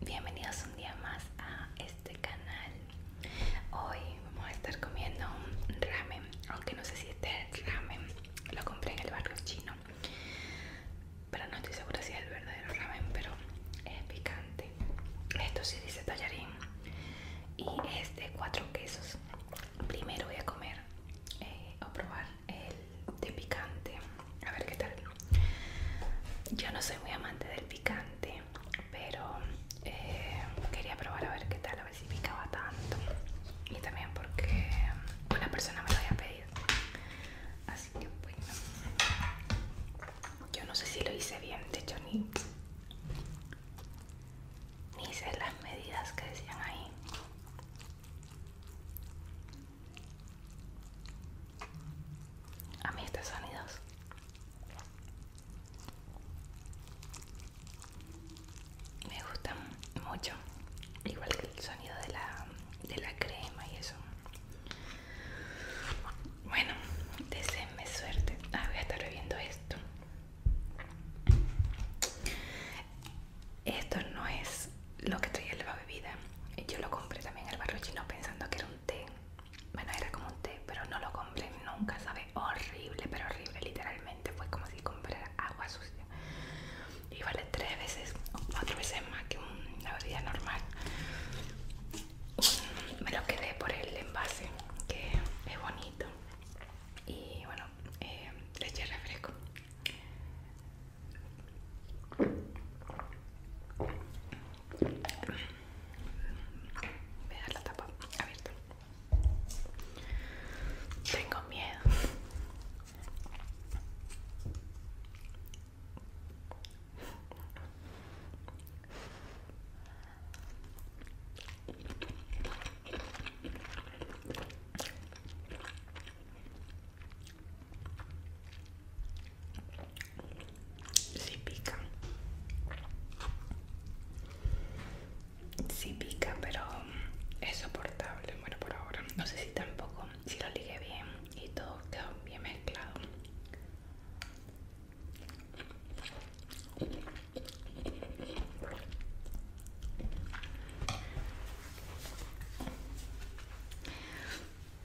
bienvenidos un día más a este canal. Hoy vamos a estar comiendo un ramen, aunque no sé si este es ramen, lo compré en el barrio chino, pero no estoy segura si es el verdadero ramen, pero es picante. Esto sí dice tallarín y es de cuatro quesos. Primero voy a comer eh, o probar el de picante, a ver qué tal. Yo no soy muy amante del picante, pero eh, quería probar a ver qué tal, a ver si picaba tanto y también porque una persona me lo había pedido así que bueno yo no sé si lo hice bien de hecho ni, ni hice las medidas que decían ahí a mí estos sonidos me gusta mucho igual que el sonido de la, de la crema y eso bueno deseenme suerte ah, voy a estar bebiendo esto esto no es lo que traía la bebida yo lo compré también al barrochino chino pensando que era un té. Bueno, era como un té, pero no lo compré nunca, sabe horrible, pero horrible, literalmente. Fue como si comprara agua sucia. Y vale tres veces cuatro veces más que una bebida normal. Me lo quedé por el envase, que es bonito. Y bueno, eh, le eché refresco. Voy a la tapa abierta. Tengo miedo si pica, si pica, pero es soportable. Bueno, por ahora no sé si tampoco, si lo ligue bien y todo quedó bien mezclado.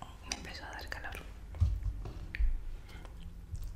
Oh, me empezó a dar calor.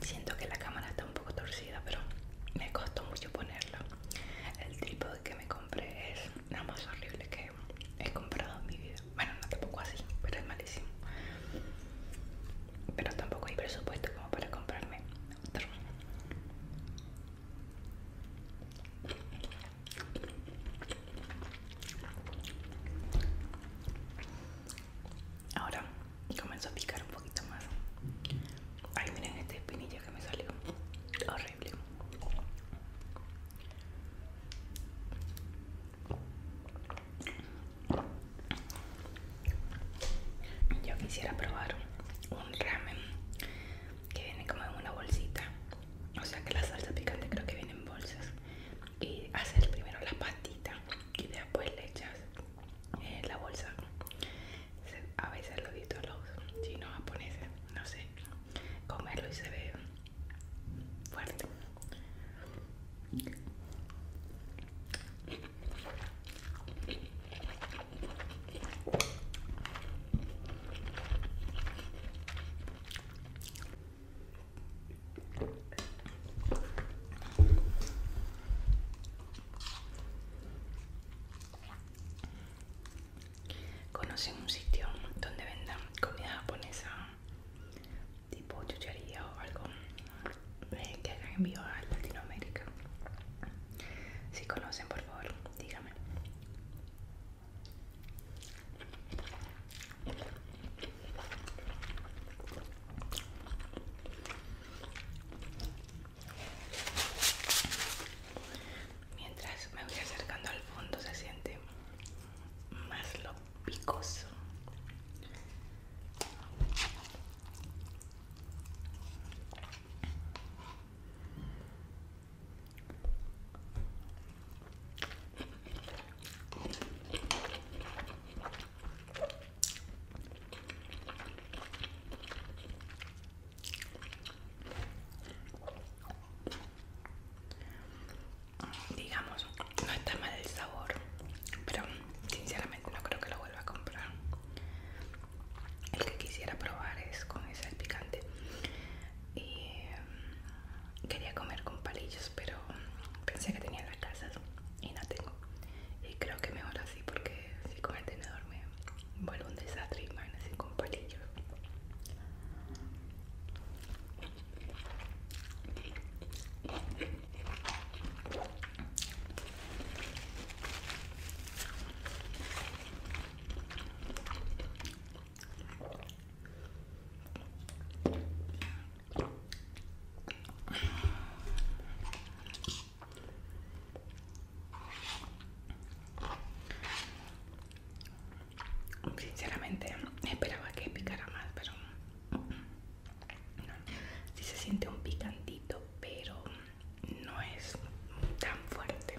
Siento que la cámara está un poco torcida, pero me costó mucho ponerla. El trípode que me compré es la más horrible que he comprado en mi vida. Bueno, no tampoco así, pero es malísimo. Pero tampoco hay presupuesto como para comprarme otro. Ahora comenzó a picar un poquito más. Ay, miren este espinillo que me salió. Horrible. Yo quisiera probar un ramen que viene como en una bolsita. O sea que la salsa picante creo que viene en bolsas. Y hacer primero la patitas y después le echas en eh, la bolsa. A veces lo visto a los chinos japoneses, no sé, comerlo y se ve fuerte. Conocen un sitio donde vendan comida japonesa, tipo chuchería o algo eh, que hagan envío a Latinoamérica. Si conocen, por favor, díganme Mientras me voy acercando al fondo se siente más lo picoso. Digamos, no está mal el sabor, pero sinceramente no creo que lo vuelva a comprar. El que quisiera probar es con ese picante. Y em, quería comer con palillos, pero pensé que tenía la y no tengo y creo que mejor así porque si con el tenedor me vuelvo un desastre y más sin con Sinceramente esperaba que picara más, pero se siente un picantito, pero no es tan fuerte.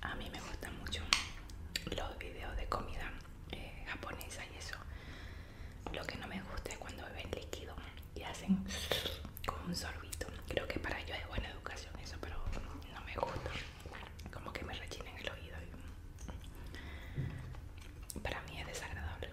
A mí me gustan mucho los videos de comida eh, japonesa y eso. Lo que no me gusta es cuando beben líquido y hacen con un sorbito. Creo que para ellos es buena educación eso, pero no me gusta como que me rechinen el oído para mí es desagradable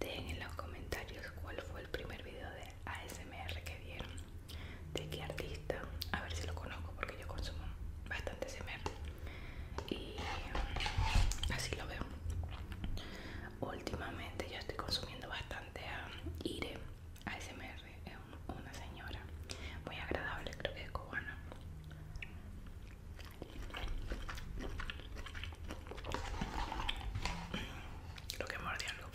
Dejen en los comentarios cuál fue el primer video de ASMR que vieron de qué artista, a ver si lo conozco porque yo consumo bastante asmr y mm, así lo veo. Últimamente yo estoy consumiendo bastante a Ire ASMR, es una señora muy agradable, creo que es cubana. Creo que mordió algo.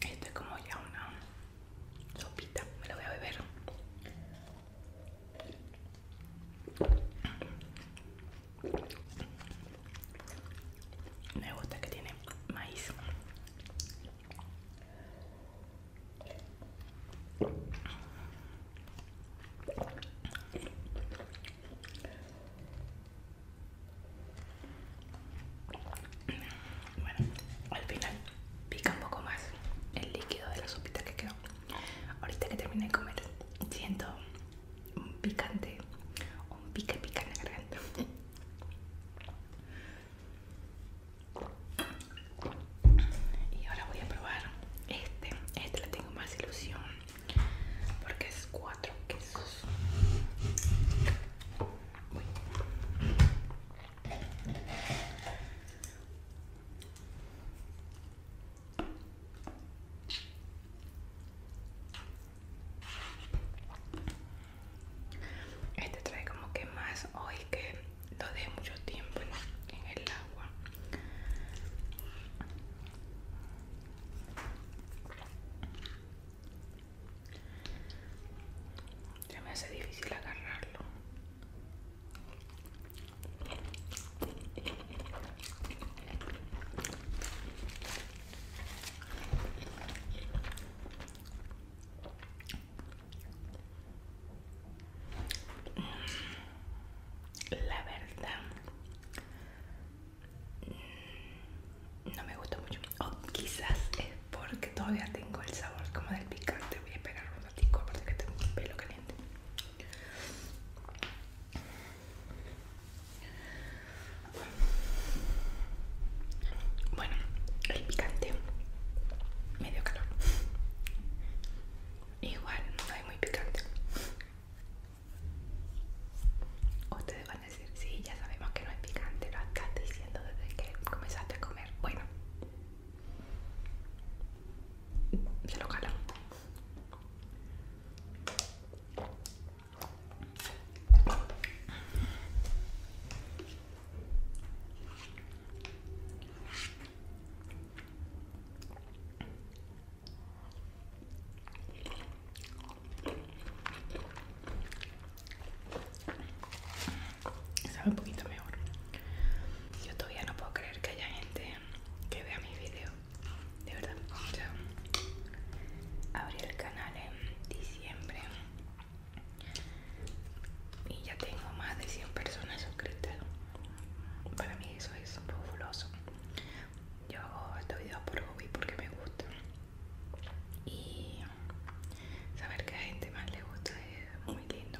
Esto es como ya una sopita, me la voy a beber. Me gusta que tiene maíz. Bueno, al final pica un poco más el líquido de la sopita que quedó. Ahorita que terminé de comer, siento un picante, un pica pica en la Y ahora voy a probar este. Este lo tengo más ilusión porque es cuatro quesos. Este trae como que más hoy que lo de mucho tiempo en el agua ya me hace difícil agarrarlo. La verdad Mm, no me gusta mucho o quizás es porque todavía tengo el sabor como del picante voy a esperar un ratito aparte que tengo el pelo caliente bueno el picante medio calor igual no es muy picante Ustedes van a decir, sí, ya sabemos que no es picante, lo estás diciendo desde que comenzaste a comer. Bueno, se lo calan. Sabe un poquito mejor. Yo todavía no puedo creer que haya gente que vea mis videos. De verdad. abrí el canal en diciembre y ya tengo más de 100 personas suscritas. Para mí eso es fabuloso yo hago estos videos por hobby porque me gusta y saber que a gente más le gusta es muy lindo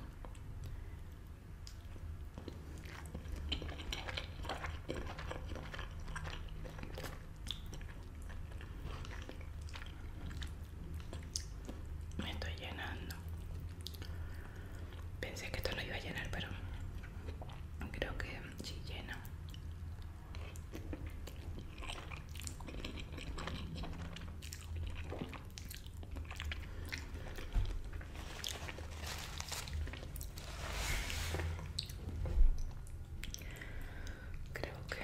me estoy llenando Pensé que esto lo iba a llenar, pero creo que sí llena. Creo que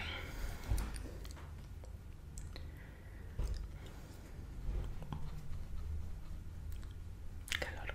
calor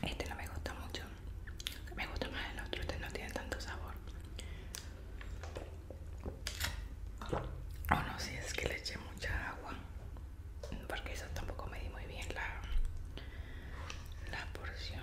Este no me gusta mucho. Me gusta más el otro, este no tiene tanto sabor. O oh, no, si es que le eché mucha agua, porque eso tampoco me di muy bien la, la porción.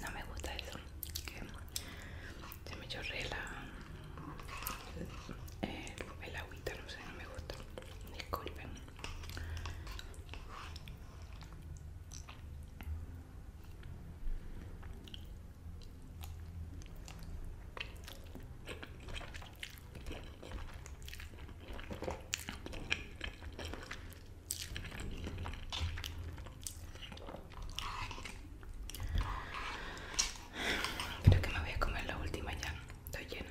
No me gusta eso, que se me chorrea la, eh, el agüita, no sé, no me gusta, disculpen. Creo que me voy a comer la última ya, estoy lleno.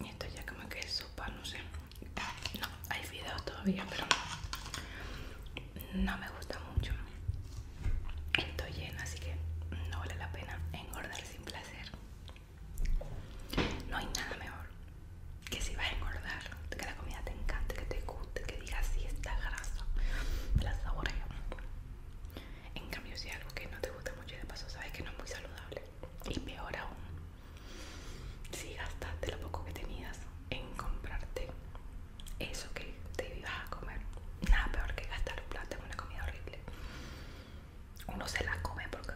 Y esto ya como que es sopa, no sé. Ah, no, hay videos todavía, pero no me gusta mucho. Estoy llena, así que no vale la pena engordar sin placer. No hay nada mejor que si vas a engordar, que la comida te encante, que te guste, que digas si sí, esta grasa me la En cambio, si algo que no te gusta mucho y de paso sabes que no es muy saludable, y peor aún, si gastaste lo poco que tenías en comprarte eso que te ibas a comer, nada peor que gastar un plato en una comida horrible. Uno se la come porque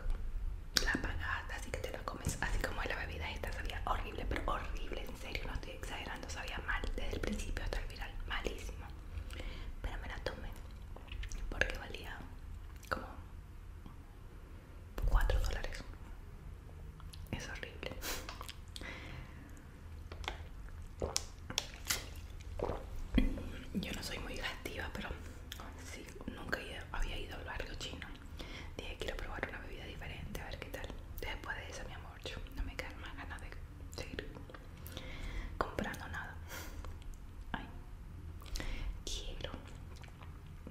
la pagaste, así que te la comes, así como la bebida esta sabía horrible, pero horrible, en serio, no exagerando, sabía mal desde el principio hasta el viral malísimo. Pero me la tomé porque valía como 4 dólares. Es horrible. Yo no soy muy gastiva, pero sí, nunca había ido al barrio chino. Dije, quiero probar una bebida diferente, a ver qué tal. Después de eso mi amor, no me quedan más ganas de seguir comprando nada. Ay. Quiero,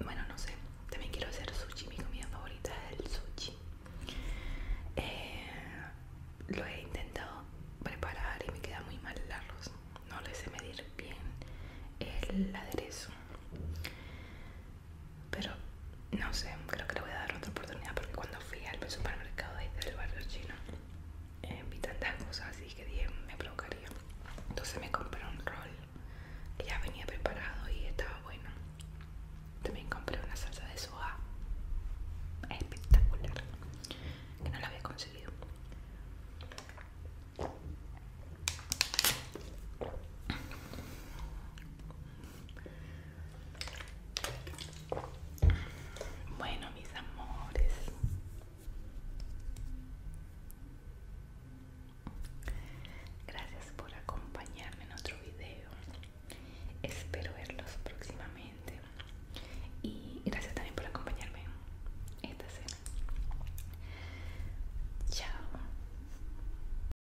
bueno, no sé, también quiero hacer sushi. Mi comida favorita es el sushi. Eh, lo he intentado preparar y me queda muy mal el arroz. No le sé medir bien el aderezo. Pero no sé, creo que le voy a dar otra oportunidad porque cuando fui al supermercado desde el barrio chino eh, vi tantas cosas así que dije me provocaría. Entonces me compré un rol que ya venía preparado y estaba bueno. También compré una salsa de soja espectacular que no la había conseguido. Bueno, mis amores. Gracias por acompañarme en otro video. Espero verlos próximamente. Y gracias también por acompañarme en esta cena. Chao.